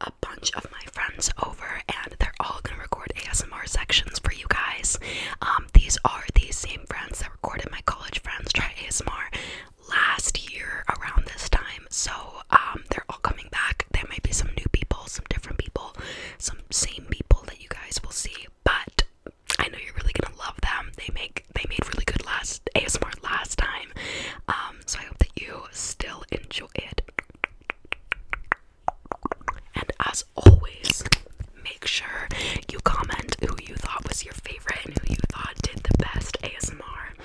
a bunch of my friends over, and they're all gonna record ASMR sections for you guys. Um, these are these same friends that recorded my college friends try ASMR last year around this time. So um, they're all coming back. There might be some new people, some different people, some same people that you guys will see, but I know you're really gonna love them. They make they made really good last ASMR last time. Um, so I hope that you still enjoy it. And as always, make sure you comment who you thought was your favorite and who you thought did the best ASMR.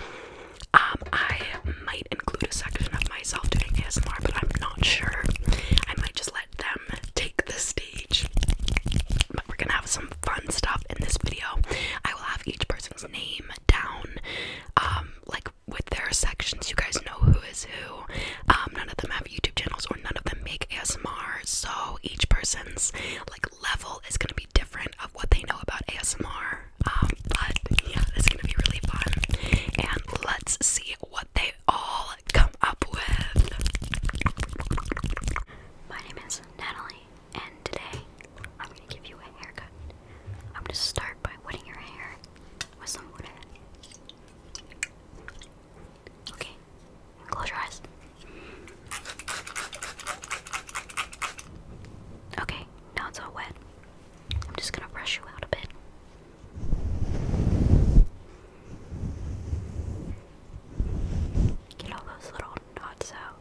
Um, I might include a section of myself doing ASMR, but I'm not sure. I might just let them take the stage. But we're gonna have some fun stuff in this video. I will have each person's name down, um, like with their sections. You guys know who is who. Um, none of them have YouTube channels or none of them make ASMR. So each person's like level is gonna be different of what they know about ASMR. Um, but yeah, it's gonna be really fun. And let's see what they all come up with. My name is Natalie, and today I'm gonna give you a haircut. I'm gonna start by wetting your hair with some water. Okay, close your eyes. Okay, now it's all wet. I'm just gonna brush you out a bit. Get all those little knots out.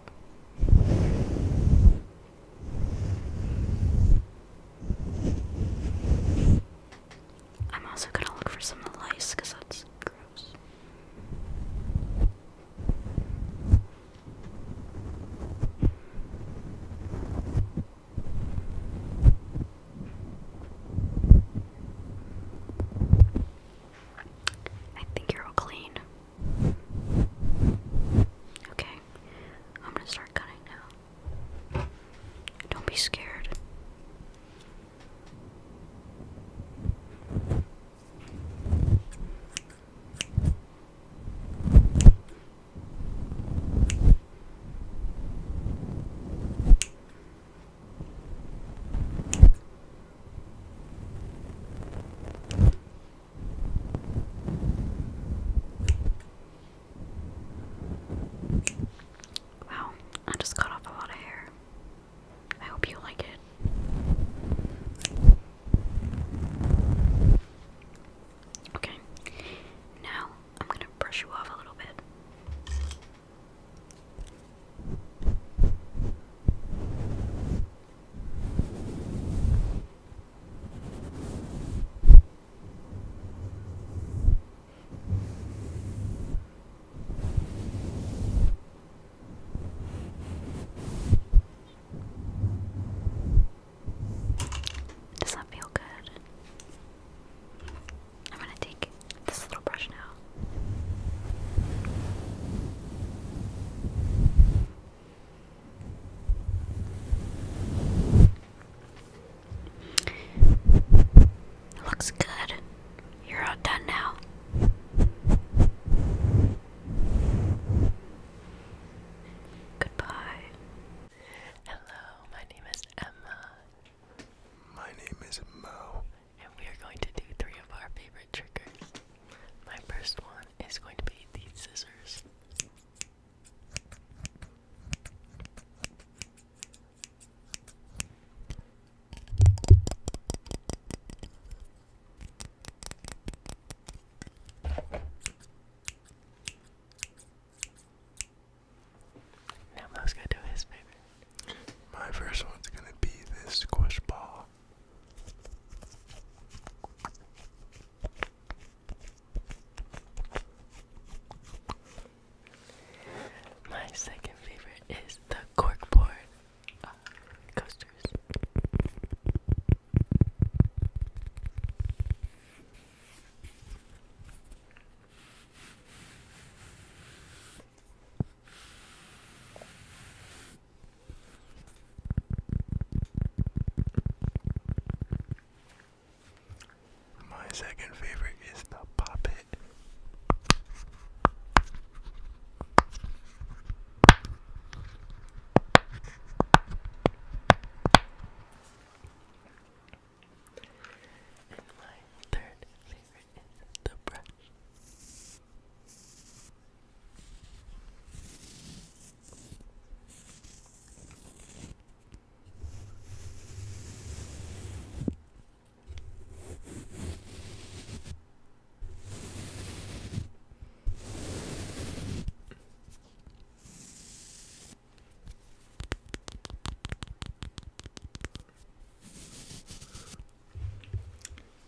I'm also gonna look for some lice because that's gross. I think you're all clean. Okay, I'm gonna start cutting now. Don't be scared. Wow, I just cut off a lot of hair. I hope you like it. Okay, now I'm gonna brush you off a little bit. Does that feel good? I'm going to take this little brush now. Looks good. You're all done now. Goodbye. Hello, my name is Emma. My name is Mo. And we are going to do three of our favorite triggers. My first one is going to be these scissors. Now Mo's gonna do his favorite. My first one's gonna be this squish ball. My second favorite is the corkboard uh, coasters. My second favorite is the puppet, And my third favorite is the brush.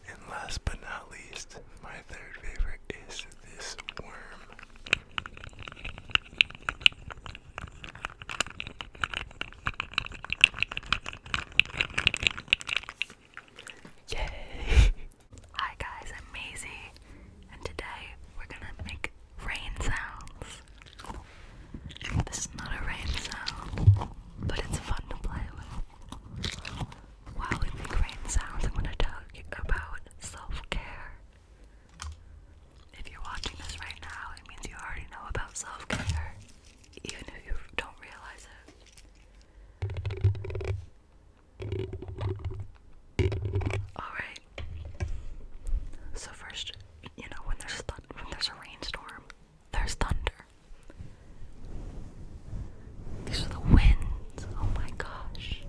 And last but not least, my third favorite is this worm. Yay! Hi guys, I'm Maisie, and today we're gonna make rain sounds. This is not a rain sound, but it's fun to play with. While we make rain sounds, I'm gonna talk about self care if you're watching this right now, it means you already know about self care, even if you don't realize it. Alright. So, first, you know, when there's, th when there's a rainstorm, there's thunder. These are the winds. Oh my gosh.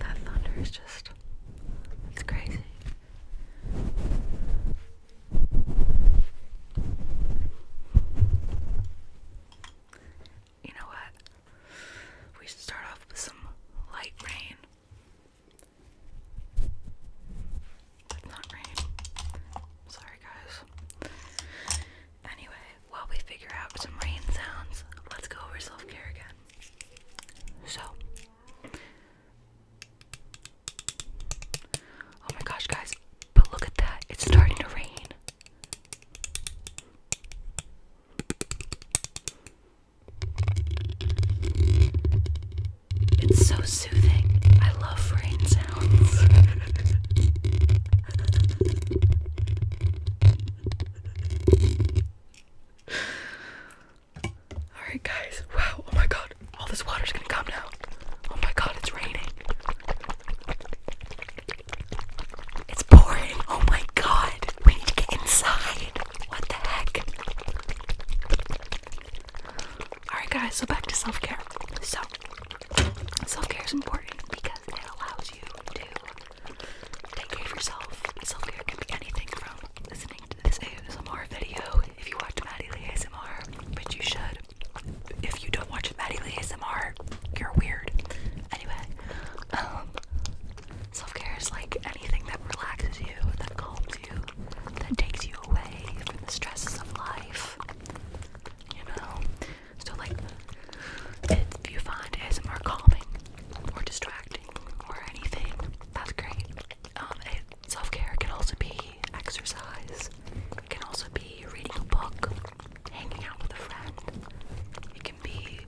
That thunder is just. It's crazy. You know what? We should start off with some light rain. But not rain. Sorry, guys. Anyway, while we figure out some rain sounds, let's go over self care again. So, oh my gosh, guys, but look at that, it's starting to rain. It's so soothing. I love rain sounds. Alright, guys. Wow. Oh my god. All this water's gonna come now. Oh my god, it's raining. It's pouring. Oh my god. We need to get inside. What the heck? Alright, guys. So back to self care. So, self care is important because it allows you to Take care of yourself. Self care can be anything from listening to this ASMR video if you watch Maddie Lee ASMR, which you should. If you don't watch Maddie Lee ASMR, you're weird. Anyway, um, self care is like anything that relaxes you, that calms you, that takes you away from the stresses of life. You know? So, like, if you find ASMR calming or distracting or anything, that's great. Um, self care can also be exercise, it can also be reading a book, hanging out with a friend, it can be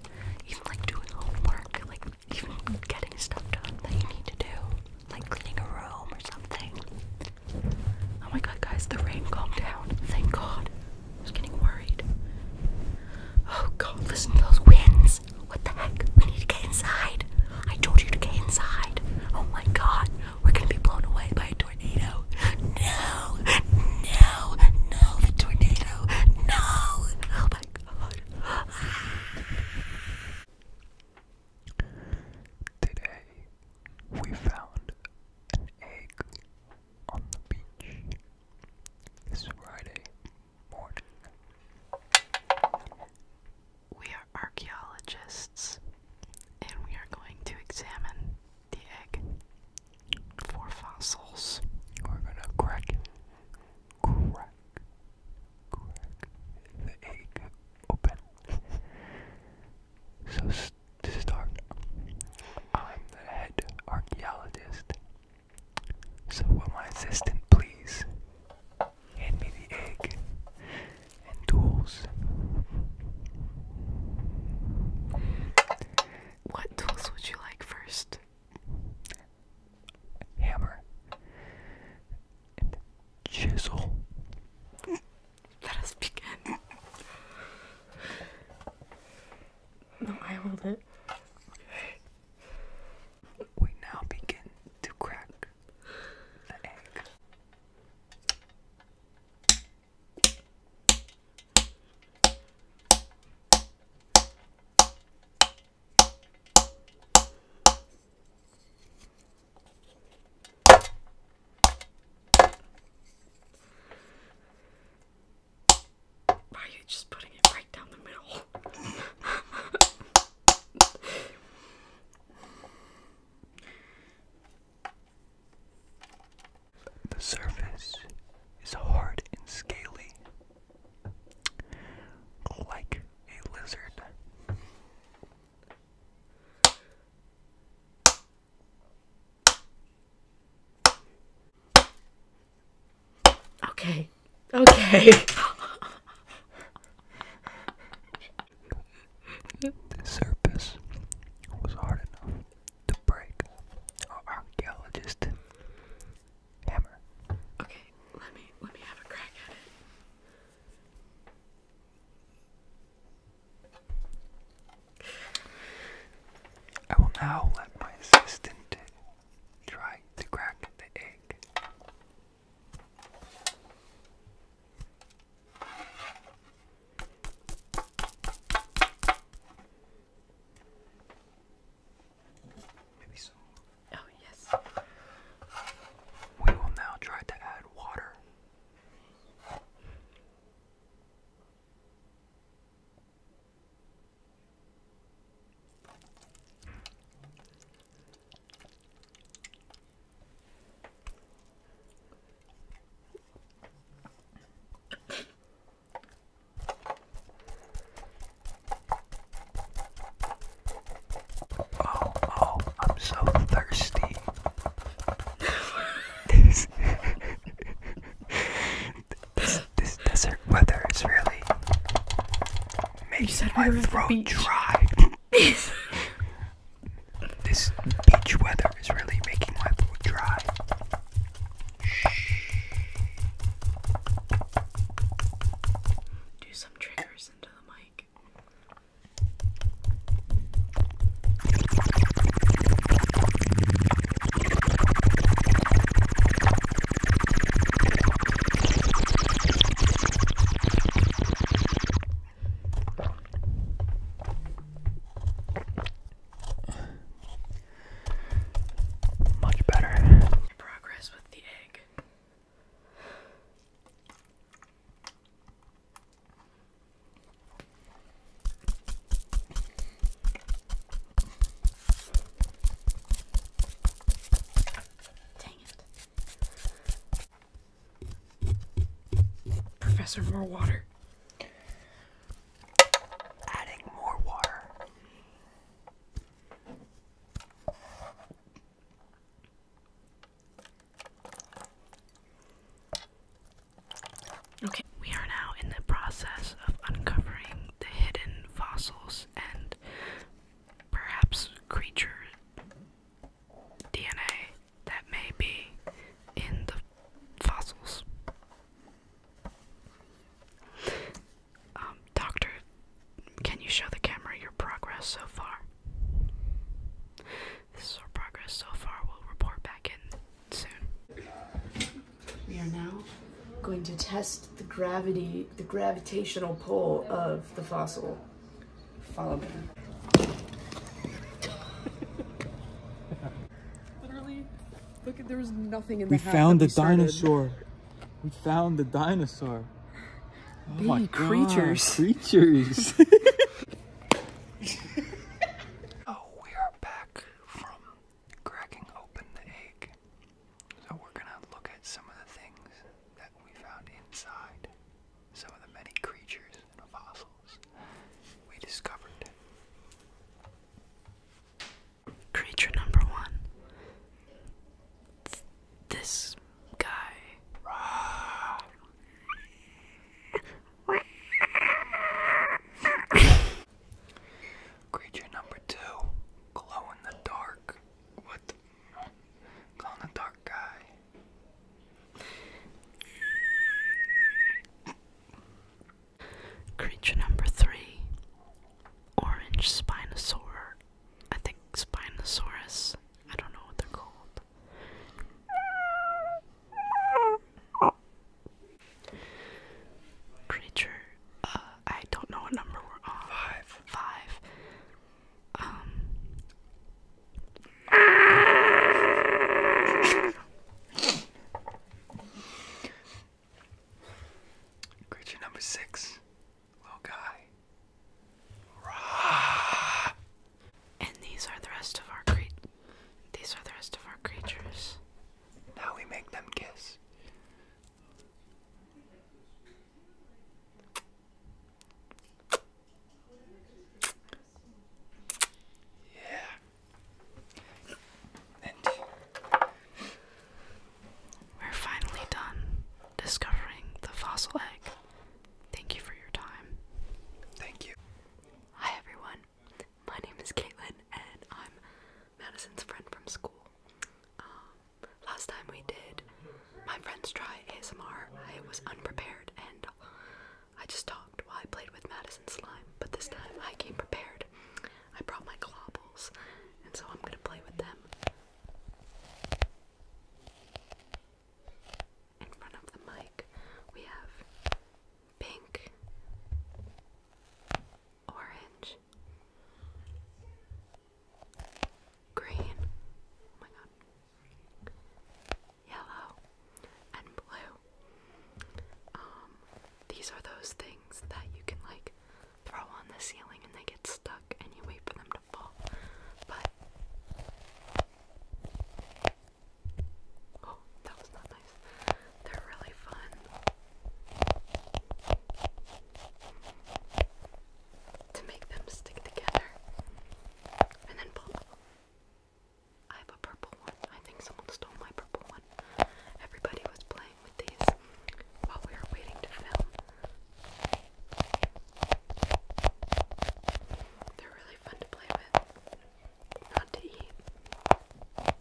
even like doing homework, like even getting stuff done that you need to do, like cleaning a room or something. Oh my god, guys, the rain calmed down. Thank god. I was getting worried. Oh god, listen to those winds. What the heck? We need to get inside. I told you to get inside. Oh my god, we're gonna be blown away by a tornado. No, no, no, the tornado. No. Oh my god. Today, we found an egg on the beach. It's Friday morning. We are archaeologists, and we are going to examine the egg for fossils. We're gonna crack, crack, crack the egg open. so to start, I'm the head archaeologist so will my assistant please hand me the egg and tools? What tools would you like first? Hammer and chisel. Let us begin. No, I hold it. We now begin to crack the egg. Why are you just putting it right down the middle? the surface is hard and scaly, like a lizard. Okay. Okay. the surface was hard enough to break archaeologist hammer. Okay, let me let me have a crack at it. I will now let my assistant Try to crack the egg. Maybe some. Oh, yes. We will now try to add water. Oh, oh, I'm so thirsty. this This, desert weather is really making my we throat dry. this beach weather is really making my throat dry. Do some triggers into the mic. Much better. Progress with the egg. Dang it. Professor, more water. Adding more water. Okay, we are now in the process of uncovering the hidden fossils and perhaps creature DNA that may be in the fossils. Um, doctor, can you show the camera your progress so far? This is our progress so far. We'll report back in soon. We are now going to test the gravity, the gravitational pull of the fossil. Follow me. Literally, look, there was nothing in the We found the dinosaur. We found the dinosaur. Oh Big my creatures. creatures. oh, we are back from cracking open the egg. So we're gonna look at some of the things that we found inside, some of the many creatures and fossils we discovered. Creature number one. It's this guy. Creature number two, glow in the dark. What? glow in the dark guy. Creature number three, orange spinosaur. I think Spinosaurus. I don't know what they're called. Creature, uh, I don't know what number we're on. Five. Five. Um, creature number six, little guy. And these are the rest of our cre these are the rest of our creatures. Now we make them kiss. Yeah. And we're finally done discovering the fossil egg. Thank you for your time. Thank you. Hi everyone my name is Caitlin, and I'm Madison's friend from school. Um, last time we did my friends try ASMR, I was unprepared and I just talked while I played with Madison's slime. But this time I came prepared. I brought my globbles, and so I'm gonna play with them in front of the mic. We have pink orange, green, oh my god, yellow, and blue. Um, these are those things that you can like throw on the ceiling and they get stuck and you wait for them to fall. But, oh, that was not that. They're really fun. To make them stick together. And then pull. I have a purple one. I think someone stole my purple one. Everybody was playing with these while we were waiting to film. They're really fun to play with. Not to eat.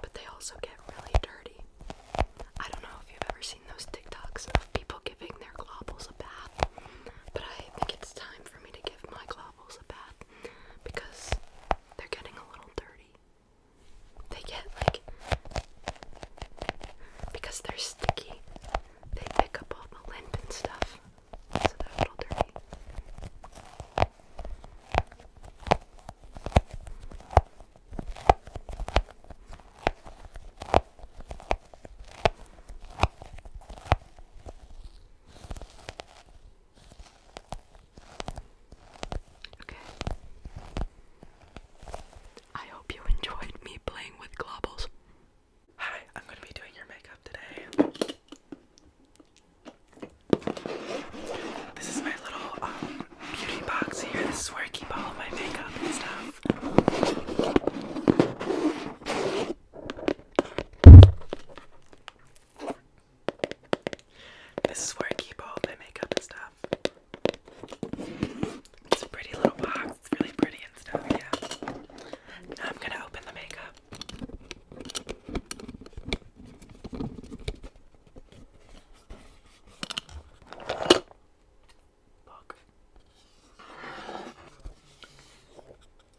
But they also get really dirty. I don't know if you've ever seen those TikToks of people giving their globbles a bath, but I think it's time for me to give my globbles a bath because they're getting a little dirty. They get like, because they're sticky, they pick up all the lint and stuff. Okay. I hope you enjoyed me playing with globbles. Hi, I'm going to be doing your makeup today. This is my little um, beauty box here. This is where I keep all my makeup and stuff. This is where I keep all my makeup and stuff. It's a pretty little box it's really pretty and stuff, yeah. I'm gonna open the makeup. Look.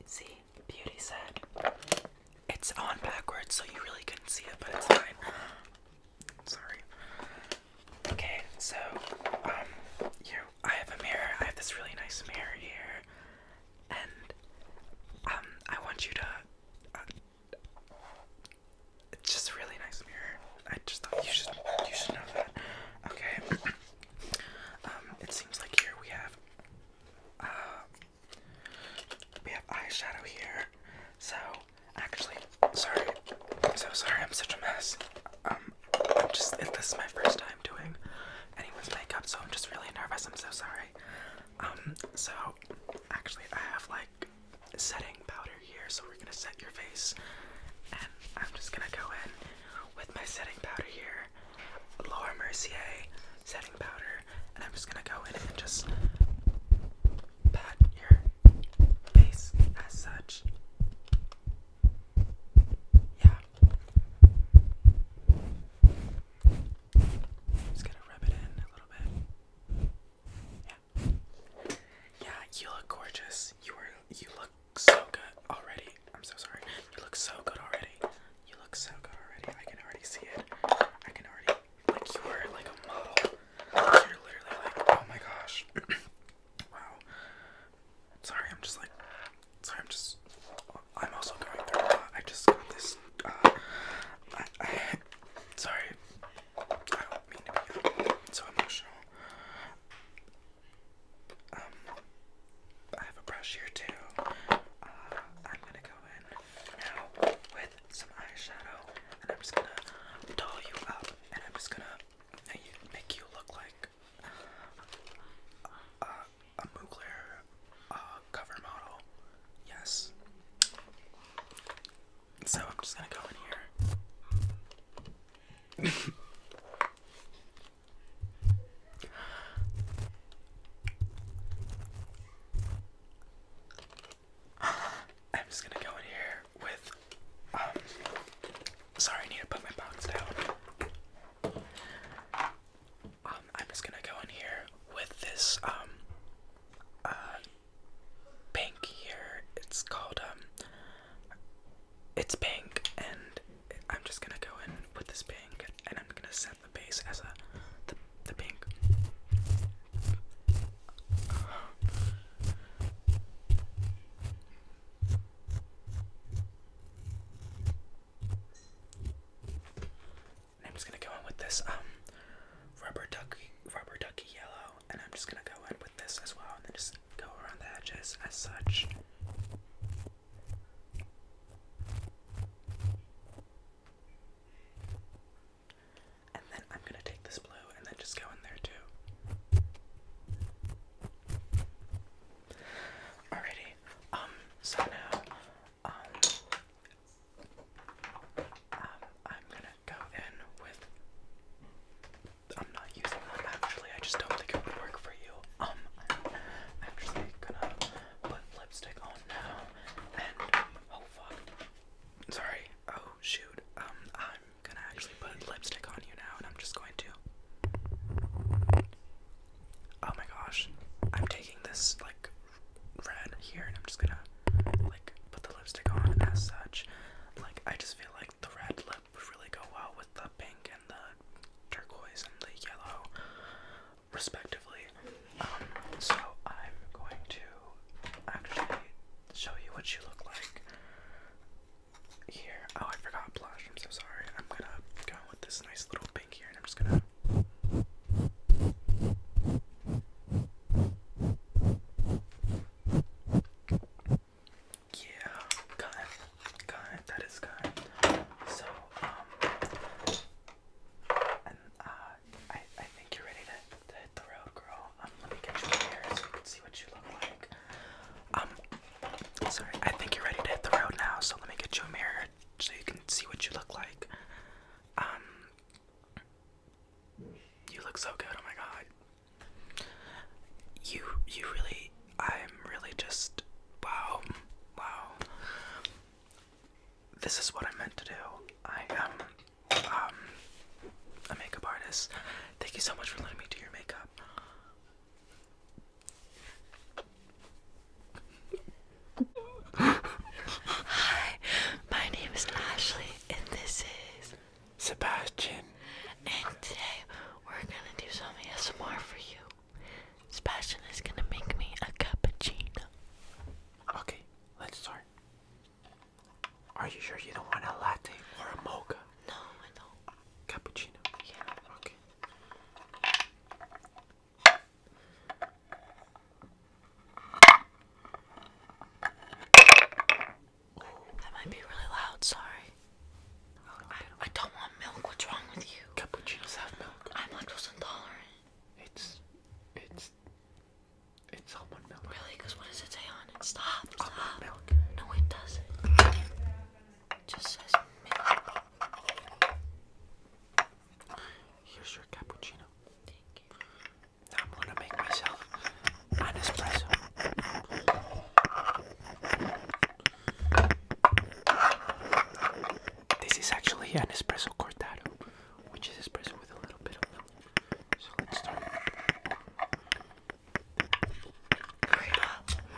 See, Beauty said it's on backwards, so you really couldn't see it, but it's fine. Sorry. Okay, so um, you I have a mirror. I have this really nice mirror here, and um, I want you to. Uh, it's just a really nice mirror. I just thought you should you should know that. Okay. um, it seems like here we have. Uh, we have eyeshadow here. So actually, sorry. I'm so sorry. I'm such a mess. Um, I'm just. This is my first time I'm doing anyone's makeup, so I'm just really nervous. I'm so sorry. Um, so actually, I have like setting powder here, so we're gonna set your face, and I'm just gonna go in with my setting powder here, Laura Mercier setting powder, and I'm just gonna go in and just pat your face as such. Yeah. Just gotta rub it in a little bit. Yeah. Yeah, you look gorgeous. You were you look so good already. I'm so sorry. You look so good already. You look so good already. I can already see it. I can already like you were like a model. you're literally like, oh my gosh. wow. Sorry, I'm just like, sorry, I'm just, I'm also going through, uh, I just got this, uh, I, I, sorry, I don't mean to be uh, so emotional. Um, I have a brush here too. Uh, I'm gonna go in now with some eyeshadow, and I'm just gonna doll you up, and I'm just gonna make you look like a Mugler uh, cover model. Yes. So I'm just gonna go in here. I'm just gonna go in here with um Sorry, I need to put my box down. Um, I'm just gonna go in here with this um uh pink here. It's called um it's pink and I'm just gonna go in with this pink and I'm gonna set the base as a the the pink. I'm just gonna go in with this um rubber ducky rubber ducky yellow and I'm just gonna go in with this as well and then just go around the edges as such. And then I'm gonna take this blue and then just go in there too. Alrighty, um, so now, um, um, I'm gonna go in with. I'm not using them actually, I just don't think it would work for you. Um, actually gonna put lipstick on now, and, oh fuck. Sorry, oh shoot. Um, I'm gonna actually put lipstick on you now, and I'm just going to. Oh my gosh. I'm taking this like red here and I'm just gonna like put the lipstick on as such. Like I just feel like the red lip really go well with the pink and the turquoise and the yellow respectively. Um, so I'm going to actually show you what you look like. Here. Oh, I forgot blush. I'm so sorry. I'm gonna go now with this nice little pink here, and I'm just gonna. Yeah, kind, kind, that is kind. So, um, and uh, I, I think you're ready to, to hit the road, girl. Um, let me get you in here so you can see what you look like. Um, Sorry, I think you're ready to hit the road now, so let me get you a mirror so you can see what you look like. Um, you look so good. Oh my god. You, you really, I'm really just, wow, wow. This is what I meant to do. I am, um, a makeup artist. Thank you so much for letting me do your makeup. Hi, my name is Ashley, and this is Sebastian. And today we're gonna do some ASMR for you. Sebastian is gonna make me a cappuccino. Okay, let's start. Are you sure you don't want a latte or a mocha? No, I don't. Cappuccino? Yeah. Okay. That might be really loud, sorry. I, don't want milk. What's wrong with you? Cappuccinos have milk. I'm lactose intolerant. It's it's it's almond milk. Really? Because what does it say on it? Stop. stop. milk. No, it doesn't. Here's your cappuccino. Thank you. I'm gonna make myself an espresso. This is actually an espresso cortado, which is espresso with a little bit of milk. So let's start. up!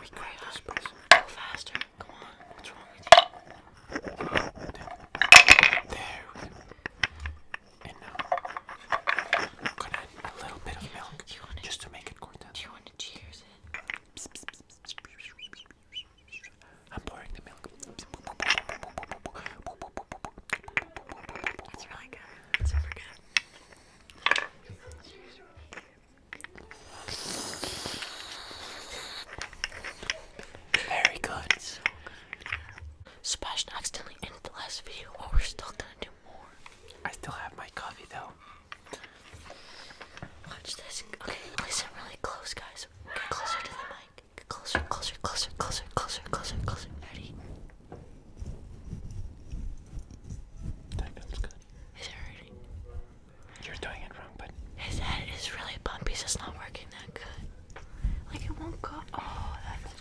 We grab espresso. Go faster. Come on, There, we go. And now, add a little bit of milk just to make it cortado. Do you want to cheers it? I'm pouring the milk. Very good. Sebastian accidentally ended the last video, but we're still gonna do more. I still have my coffee though. Watch this. Okay, listen really close, guys. Get closer to the mic. Get closer, closer, closer, closer, closer, closer, closer. Ready? That feels good. Is it ready? his head is really bumpy, so it's not working that good. Like it won't go. Oh, that's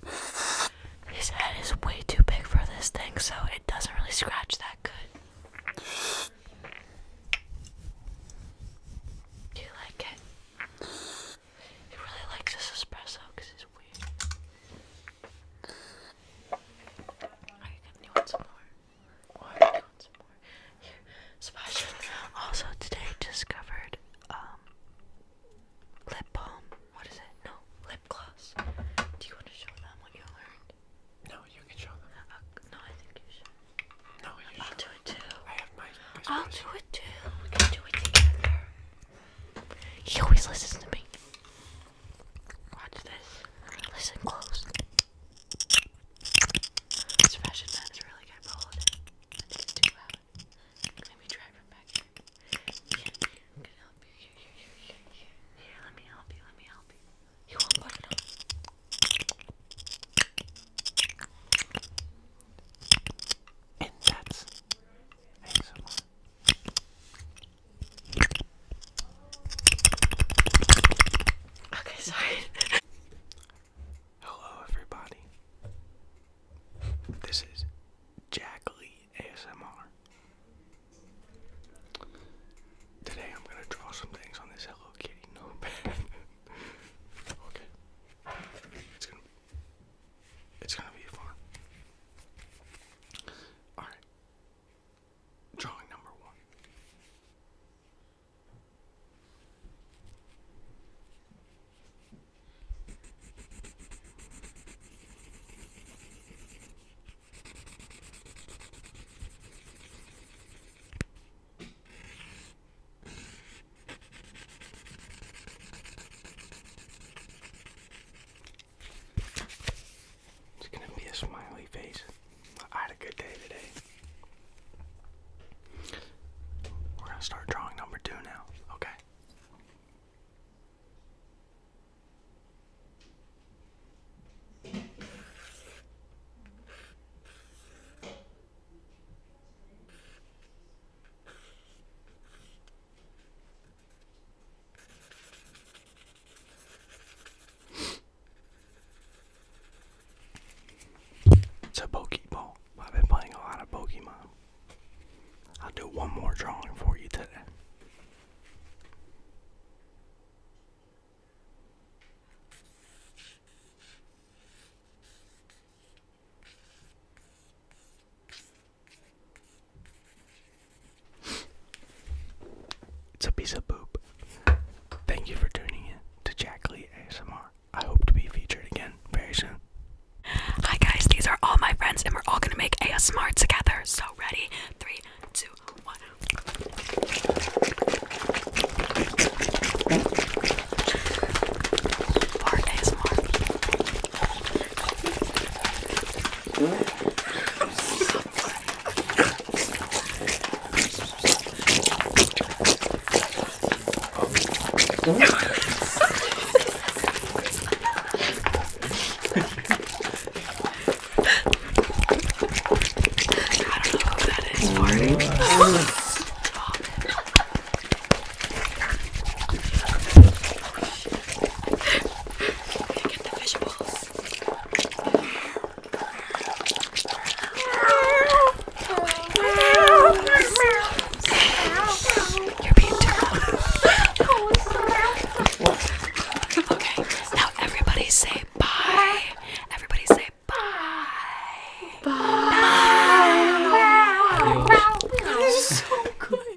good. His head is way too big for this thing, so it doesn't really scratch that good. Do you like it? He really likes this espresso because it's weird. Alright, you want some more? What? want some more? Here, Sebastian also today discovered um lip balm. What is it? No, lip gloss. Do you want to show them what you learned? No, you can show them. Uh, no, I think you should. No, I'll do it too. I have my I'll do it too. We can do it together. He always listens to me. Watch this. Listen close. This fashion man really good for holiday. I try from back here. Here, let me help you, let me help you. You won't put it And that's ASMR. Okay, sorry. Hello, everybody. This is Jack Lee ASMR. Today I'm going to draw some things on this Hello Kitty notepad. okay. It's gonna be fun. Alright. Drawing number one. It's gonna be a smiley face. I had a good day today. We're gonna start drawing number two now, okay? It's a ball. I've been playing a lot of Pokemon. I'll do one more drawing for you today. It's a piece of poop. Thank you for tuning in to Jack ASMR. I hope to be featured again very soon. Hi guys, these are all my friends, and we're all gonna make ASMR together. So ready? Three, two, one. For ASMR that is, Marty. Stop it. Gonna get the vegetables. You're beautiful. okay, now everybody say bye. Everybody say bye. Bye. bye. bye. bye. This is so good.